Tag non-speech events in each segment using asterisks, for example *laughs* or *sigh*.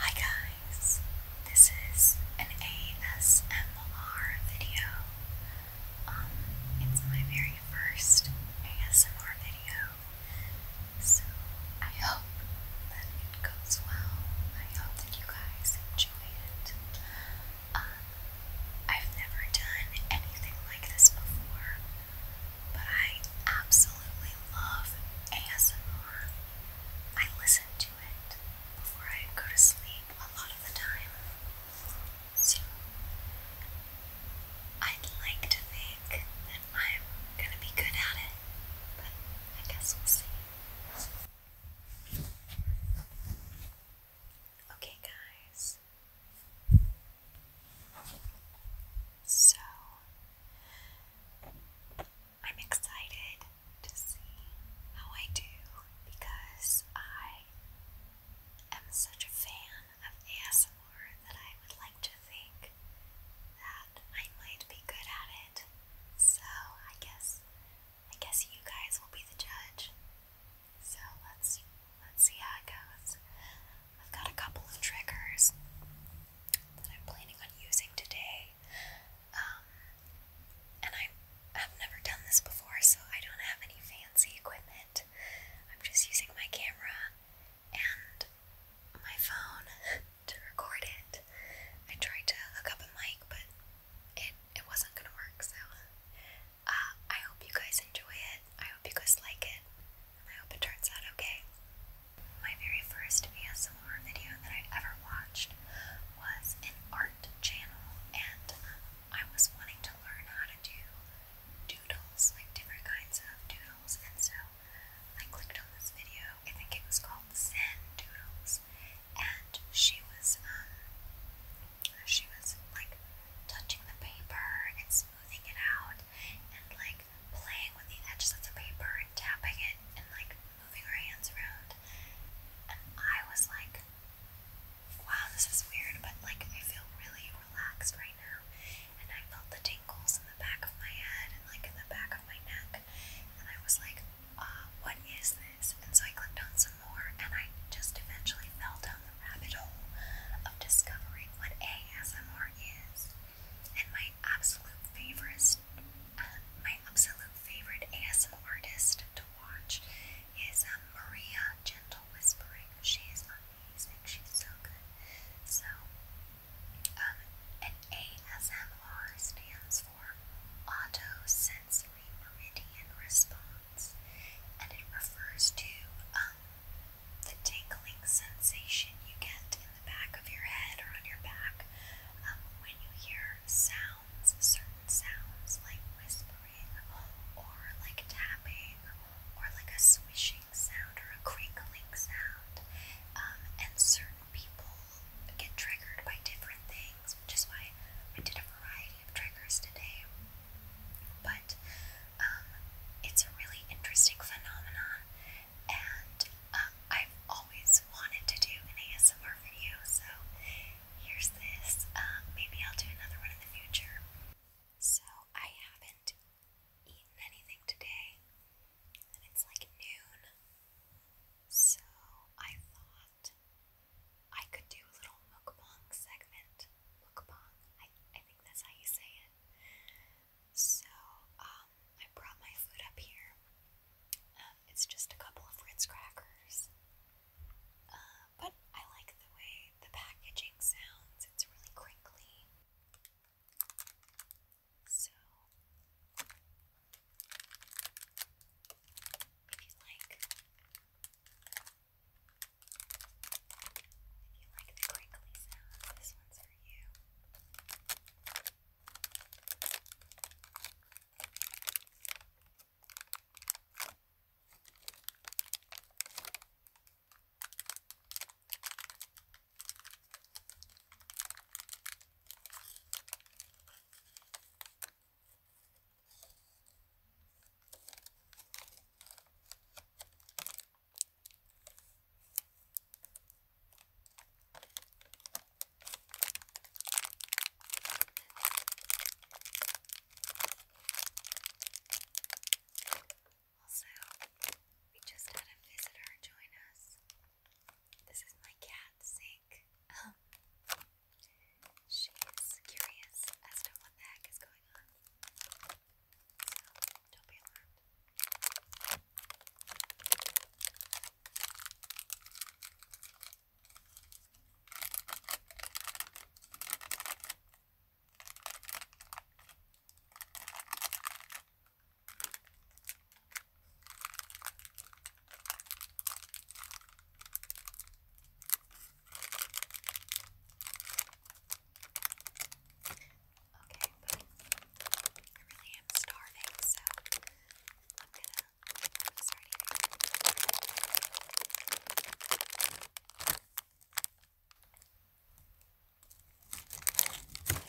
Hi guys, this is an ASMR video. Um, it's my very first ASMR video, so I hope that it goes well. I hope that you guys enjoy it. Uh, I've never done anything like this before, but I absolutely love ASMR. I listen to it before I go to sleep a lot of the time. So, I'd like to think that I'm gonna be good at it, but I guess we'll see. Okay, guys, so I'm excited to see how I do because I am such a fan of ASMR that I would like to think that I might be good at it. So I guess I guess you guys will be the judge. So let's let's see how it goes. I've got a couple of triggers that I'm planning on using today, um, and I have never done this before, so I don't have any fancy equipment. I'm just using my camera and my phone *laughs* to record it. I tried to hook up a mic, but it it wasn't gonna work, so uh, I hope you guys enjoy it. I hope you guys like it. I hope it turns out okay. My very first ASMR video that I ever watched was an art channel, and I was wanting to learn how to do doodles, like different kinds of doodles, and so I clicked on this video. I think it was called Zen Doodles, and she was um, she was like touching the paper and smoothing it out and like playing with the edges of the paper and tapping it and like moving her hands around. And I was like, wow, this is weird, but like I feel really relaxed right now. And I felt the tingles in the back of my head and like in the back of my neck. And I was like, uh, what is this? And so I clicked on some more, and I just eventually fell down the rabbit hole of discovering what ASMR is. And my absolute favorite, uh, my absolute favorite ASMR artist to watch is um, Maria Gentle Whispering. She is amazing. She's so good. So, um, an ASMR stands for Autosensory Meridian Response and it refers to um, the tingling sensation you get in the back of your head or on your back um, when you hear sounds, certain sounds like whispering or like tapping or like a swishing sound or a crinkling sound. Um, and certain people get triggered by different things which is why I did a variety of triggers today. But um, it's a really interesting phenomenon, and um, I've always wanted to do an ASMR video, so here's this. Um, maybe I'll do another one in the future. So I haven't eaten anything today, and it's like noon. So I thought I could do a little mukbang segment. Mukbang, I, I think that's how you say it. So, um, I brought my food up here. Um, it's just a couple of Ritz crackers. Uh, but I like the way the packaging sounds, it's really crinkly. So, if you like, if you like the crinkly sound, uh, this one's for you. All also, we just had a visitor join us. This is my cat, Zink. She's curious as to what the heck is going on. So, don't be alarmed. Okay, but I really am starving, so I'm gonna start eating. Okay,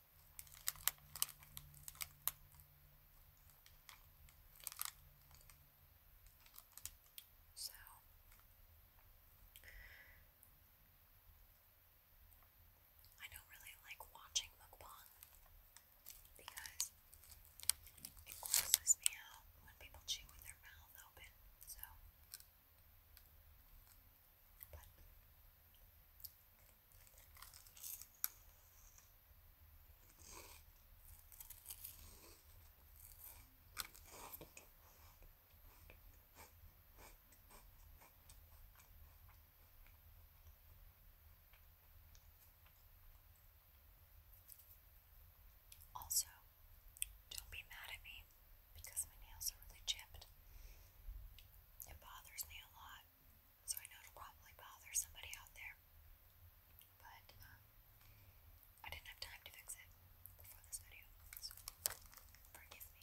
So I don't really like watching mukbang because it grosses me out when people chew with their mouth open. So also, don't be mad at me because my nails are really chipped. It bothers me a lot, so I know it probably bother somebody out there. But um, I didn't have time to fix it before this video, so forgive me.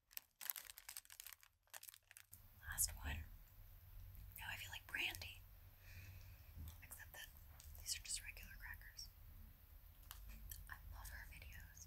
Last one. Now I feel like brandy. Except that these are just regular crackers. I love her videos.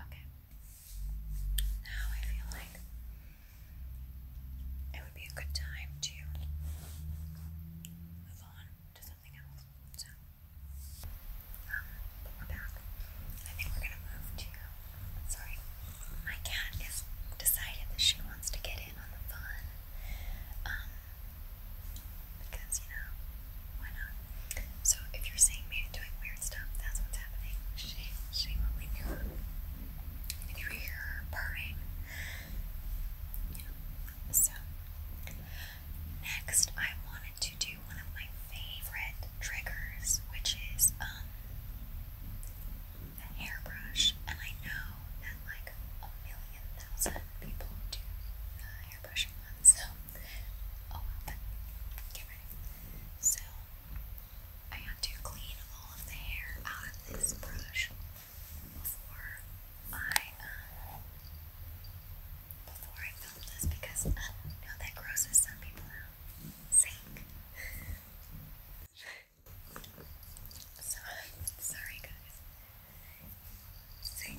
Okay. Now I feel like it would be a good time to move on to something else. So, we're um, back. I think we're gonna move to. Sorry, my cat has decided that she wants to get in on the fun. Um, because you know why not? So if you're seeing me doing weird stuff, that's what's happening. She she won't leave you alone. And if you hear her purring, you So next I wanted to do one of my favorite triggers, which is um a hairbrush. And I know that like a million thousand people do the hairbrushing one, so Oh, but So, I have to clean all of the hair out of this brush before I, um, before I film this because, uh, no, that grosses some people out. Sink. *laughs* sorry, guys. Sink.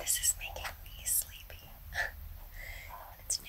This is making me sleepy. *laughs* it's new.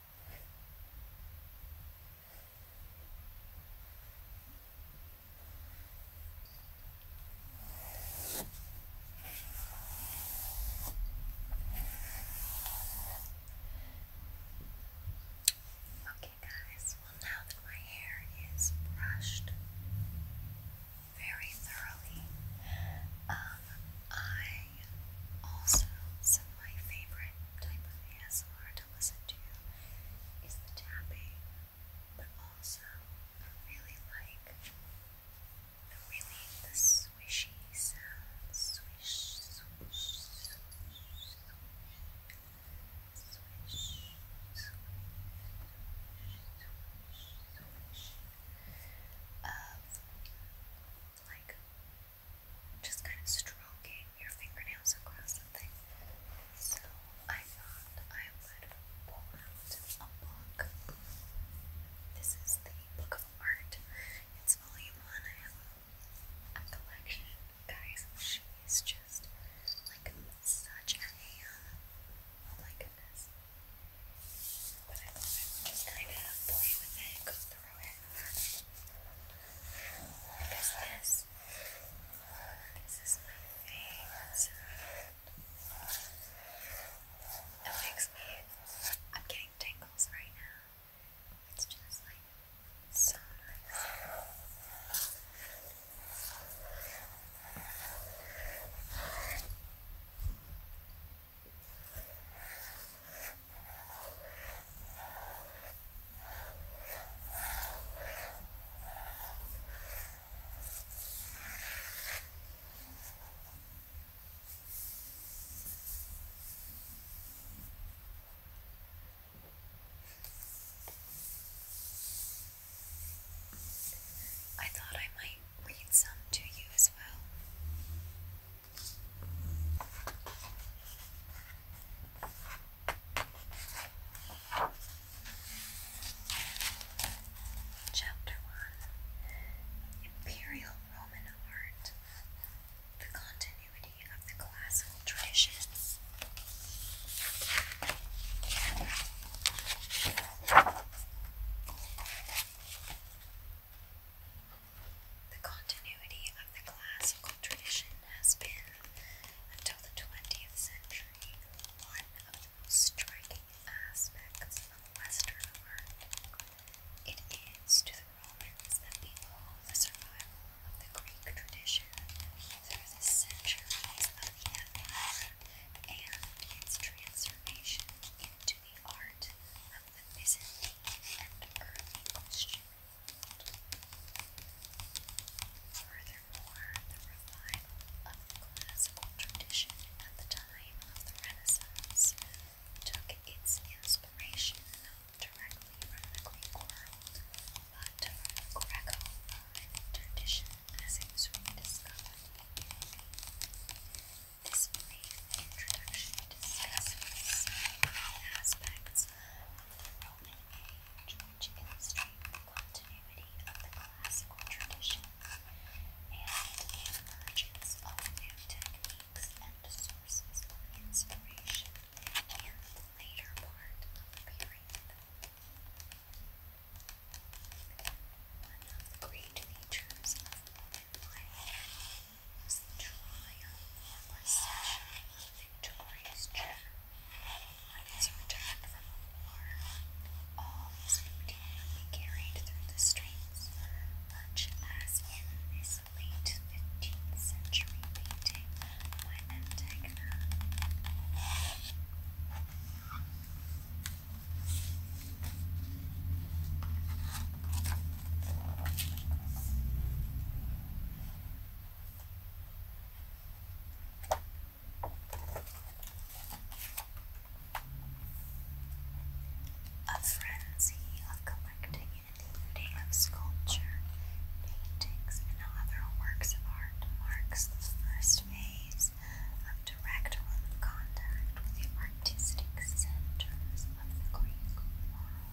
Okay, guys, well, now that my hair is brushed very thoroughly, um, I also, some my favorite type of ASMR to listen to is the tapping, but also I really like the really the swishy sound. Swish, swish, swish, swish, swish, swish, swish, swish like just kind of stroking your fingernails across something. So I thought I would pull a book. This is the Book of Art. It's volume one. I have a collection. Guys, she is just like such a Oh my goodness. But I thought just kind of play with it, through it. this, is my face. It makes me, I'm getting tingles right now. It's just like so nice. I thought I might read some to you as well. Chapter 1 Imperial Roman Art The Continuity of the Classical Traditions. The continuity of the classical tradition has been, until the 20th century, one of the striking aspects of Western art. It is to the Romans that we owe the survival of the Greek tradition through the centuries of the empire and its transformation into the art of the Byzantine and early Christian Furthermore, the revival of classical tradition at the time of the Renaissance took its inspiration directly from the Greek world, but the Greco-Roman tradition as it was rediscovered. This brief introduction discusses aspects class, of Roman age, which illustrate continuity of the classical tradition and emergence of new techniques and sources of inspiration in the later part of the period. One great features of modern life was the trial of Westchester and Victoria's children. On his return from the war, all is routinely carried through the streets, much as in this late 15th century painting by Antegna. Now a frenzy of collecting and sculpture, paintings, and other works of art marks the first phase of direct contact with the artistic centers of the Greek world.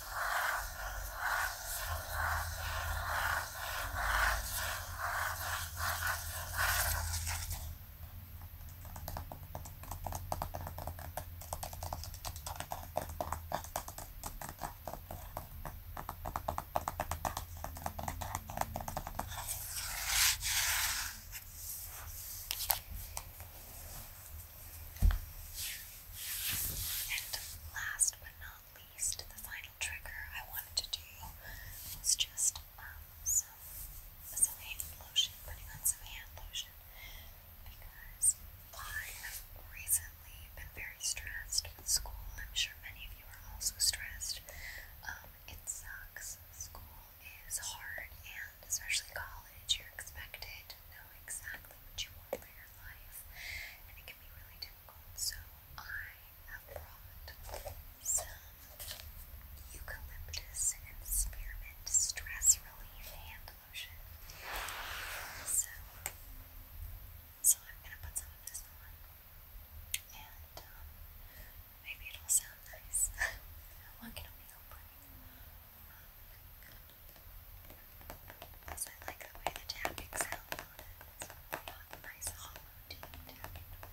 And last but not least, the final trigger I wanted to do was just um, some some hand lotion, putting on some hand lotion because I have recently been very stressed with school. I'm sure many of you are also stressed. Um, it sucks. School is hard, and especially college, you're expected to know exactly what you want for your life, can be really difficult, so I have brought some eucalyptus and spearmint stress relief hand lotion. So, so I'm gonna put some of this on, and um, maybe it'll sound nice. One can only hope. Um, Plus, I like the way the tapping sound It's a nice hollow deep tapping noise.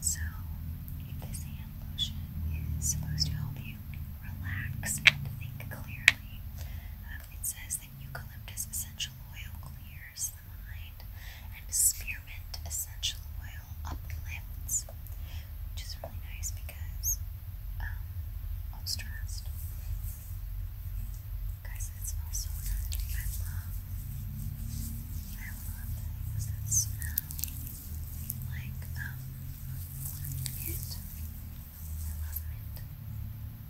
So, this hand lotion is supposed to help you relax and think clearly. Um, it says that eucalyptus essential oil clears the mind, and spearmint essential oil uplifts, which is really nice because I'm um, stressed. Guys, it smells so good. I love, I love that smell like, um, mint. I love mint.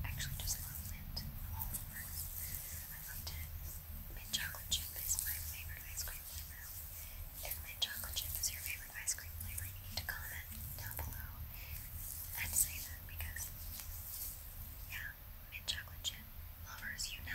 actually just love mint all over. I loved it. Mint chocolate chip is my favorite ice cream flavor. If mint chocolate chip is your favorite, ice cream flavor, you need to comment down below and say that because, yeah, mint chocolate chip lovers unite.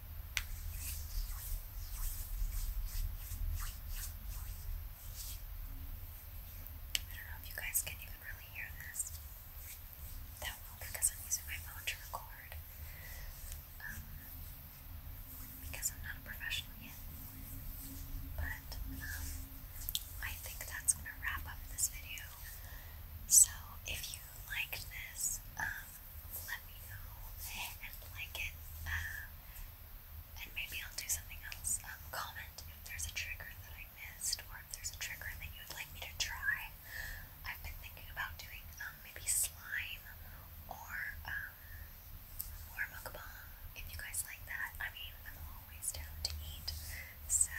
I don't know if you guys can even really hear this. That well because I'm using my phone to record. Um, because I'm not a professional yet. But um, I think that's gonna wrap up this video. So if you liked this, um, let me know and like it. Um, and maybe I'll do something else. Um, comment if there's a trigger that I missed or if there's a trigger that you would like me to try. I've been thinking about doing um, maybe slime or um, or mukbang if you guys like that. I mean, I'm always down to eat. So,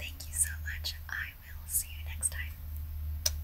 thank you so much. I will see you next time.